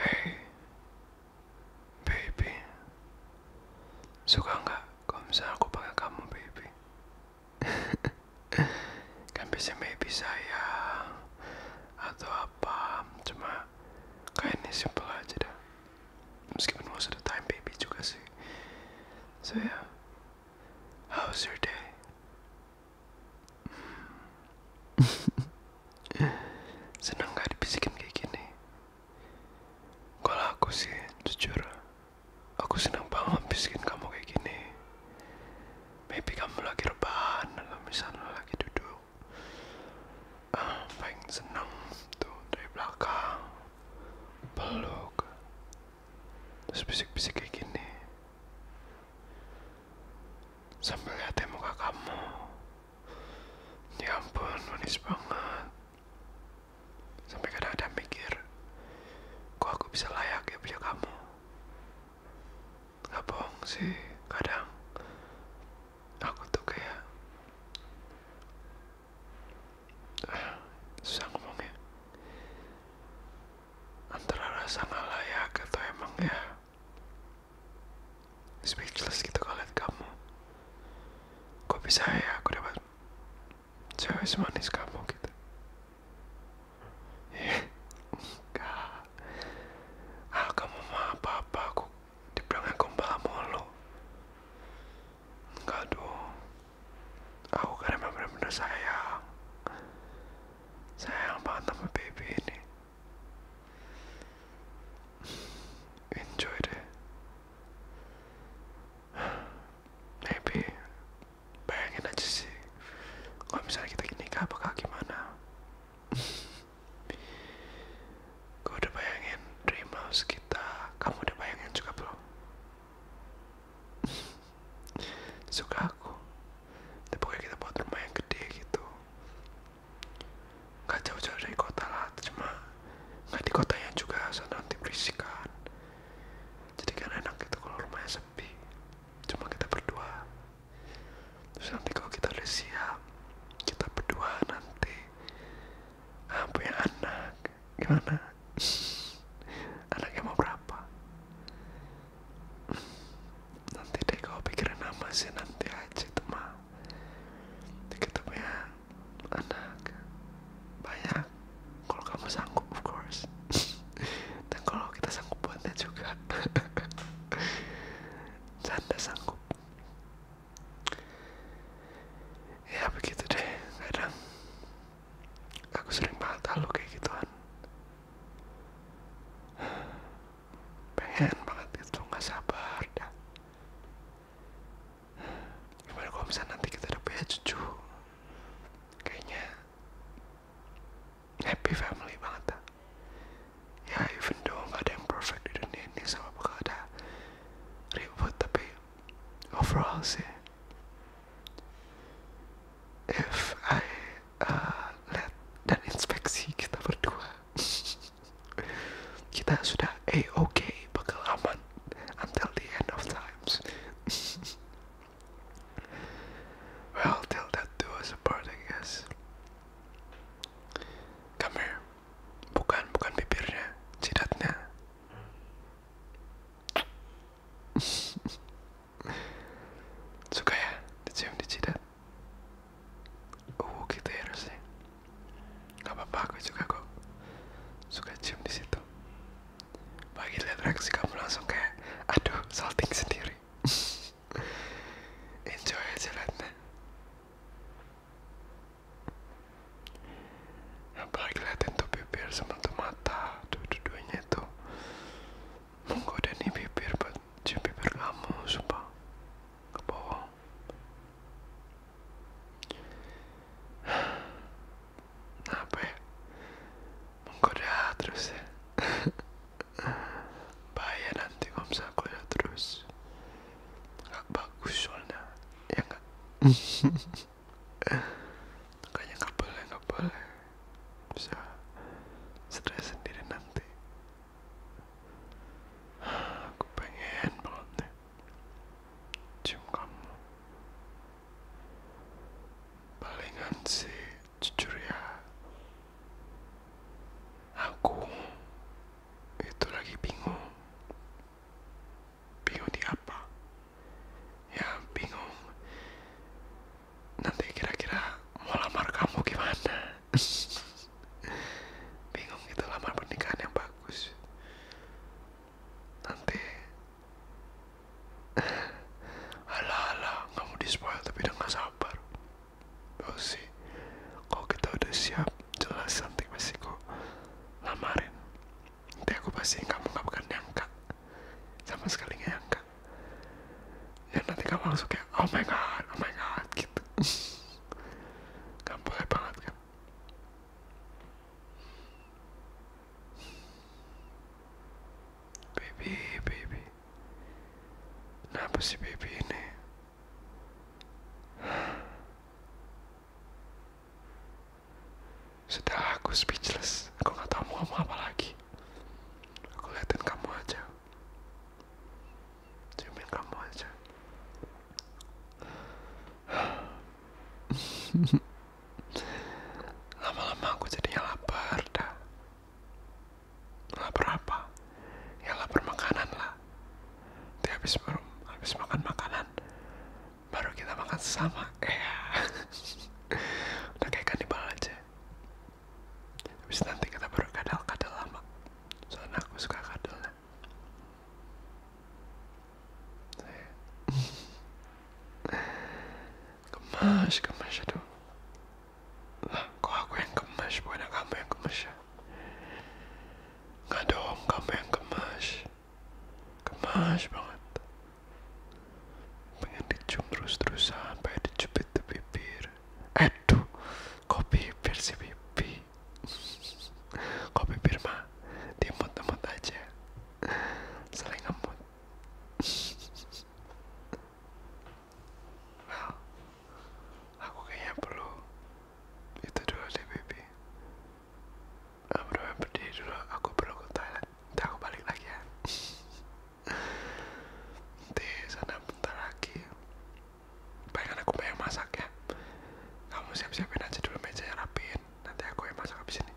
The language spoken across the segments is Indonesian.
Hey, baby, suka nggak kalau misalnya aku pakai kamu, baby? kan bisa baby sayang atau apa? Cuma kayak ini simpel aja dah. Meskipun most of the time baby juga sih. So yeah, how's your day? Seneng gak dibisikin kayak gini? Kalau aku sih, jujur Aku senang banget bisikin kamu kayak gini Maybe kamu lagi rebahan Atau misalnya lagi duduk uh, Paling seneng tuh dari belakang Peluk Terus bisik-bisik kayak gini Sampai liatin muka kamu ya ampun manis banget sampai kadang-kadang mikir kok aku bisa layak ya punya kamu nggak bohong sih kadang aku tuh kayak ah, susah ngomongnya antara rasa nggak layak atau emang ya speechless gitu kalau lihat kamu kok bisa ya aku dapat cewek semanis kamu gitu iya, enggak ah kamu mah apa apa aku dibilangnya gombal mulu enggak doh aku kan emang bener-bener sayang sayang banget sama baby ini enjoy deh maybe bayangin aja sih kalau misalnya kita nikah bakal gimana gue udah bayangin dream house kita kamu udah bayangin juga bro? suka aku tapi kayak kita buat rumah yang gede gitu nggak jauh-jauh dari kota lah cuma nggak di kota yang juga soalnya nanti berisik kan jadi kan enak gitu kalau rumahnya sepi cuma kita berdua terus nanti kalau kita udah siap kita berdua nanti ah, yang anak gimana anaknya mau berapa nanti deh kau pikirin nama sih nanti aja teman kita punya anak banyak kalau kamu sanggup of course dan kalau kita sanggup buatnya juga janda sanggup ya begitu deh kadang aku sering banget kalau kayak gituan pengen banget itu nggak sabar dah gimana kalau misalnya nanti kita udah punya cucu kayaknya happy family banget dah ya even though gak ada yang perfect di dunia ini sama bakal ada ribut tapi frase if I uh, let that inspeksi kita berdua kita sudah a okay, bakal until the end of times well till that do us apart I guess come here bukan bukan bibirnya jidatnya suka ya dicium di jidat uh gitu ya harusnya nggak apa-apa aku juga kok suka cium di situ bagi lihat reaksi kamu langsung kayak aduh salting sendiri enjoy aja yang paling kelihatan tuh bibir sama tuh mata dua-duanya itu menggoda nih bibir buat cium bibir kamu sumpah ke bawah apa ya menggoda terus ya Bayar nanti kalau misalnya ya terus nggak bagus soalnya ya nggak kayaknya nggak boleh nggak boleh bisa stres sendiri nanti aku pengen banget cium kamu palingan sih jujur ya aku itu lagi bingung bingung di apa ya bingung nanti kira-kira mau lamar kamu gimana bingung itu lamar pernikahan yang bagus nanti alah alah kamu dispoil tapi udah gak sabar sih, kalau kita udah siap jelas nanti pasti kok lamarin nanti aku pastiin kamu gak bakal diangkat sama sekali gak nyangka ya nanti kamu langsung kayak oh my god oh my god gitu gak boleh banget kan baby baby kenapa sih baby ini sudah aku speechless, aku nggak tahu mau ngomong apa lagi. Aku liatin kamu aja, ciumin kamu aja. Lama-lama aku jadinya lapar dah. Ya, lah berapa Ya lah permakanan lah. Nanti habis baru habis makan makanan baru kita makan sama. Eh, ya. udah kayak kanibal aja. Habis nanti kita baru kadal-kadal lama. Soalnya aku suka kadelnya. kemas gemas aduh lah kok aku yang gemes bukan kamu yang gemes ya Nggak dong kamu yang gemes Gemes banget Pengen dicium terusan Pengen dicubit di bibir Aduh Kok bibir sih bibir Kok bibir mah Diemut-emut aja Saling ngemut aku kayaknya perlu itu dulu deh baby aku udah berdiri dulu aku perlu ke toilet nanti aku balik lagi ya nanti sana bentar lagi pengen kan aku pengen masak ya kamu siap-siapin aja dulu meja yang rapiin nanti aku yang masak habis ini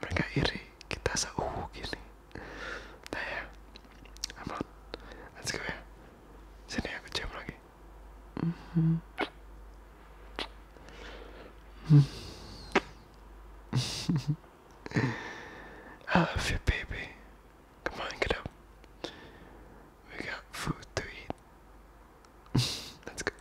mereka iri kita seuhu gini nah ya upload let's go ya sini aku cium lagi mm -hmm. I love you baby come on get up we got food to eat let's go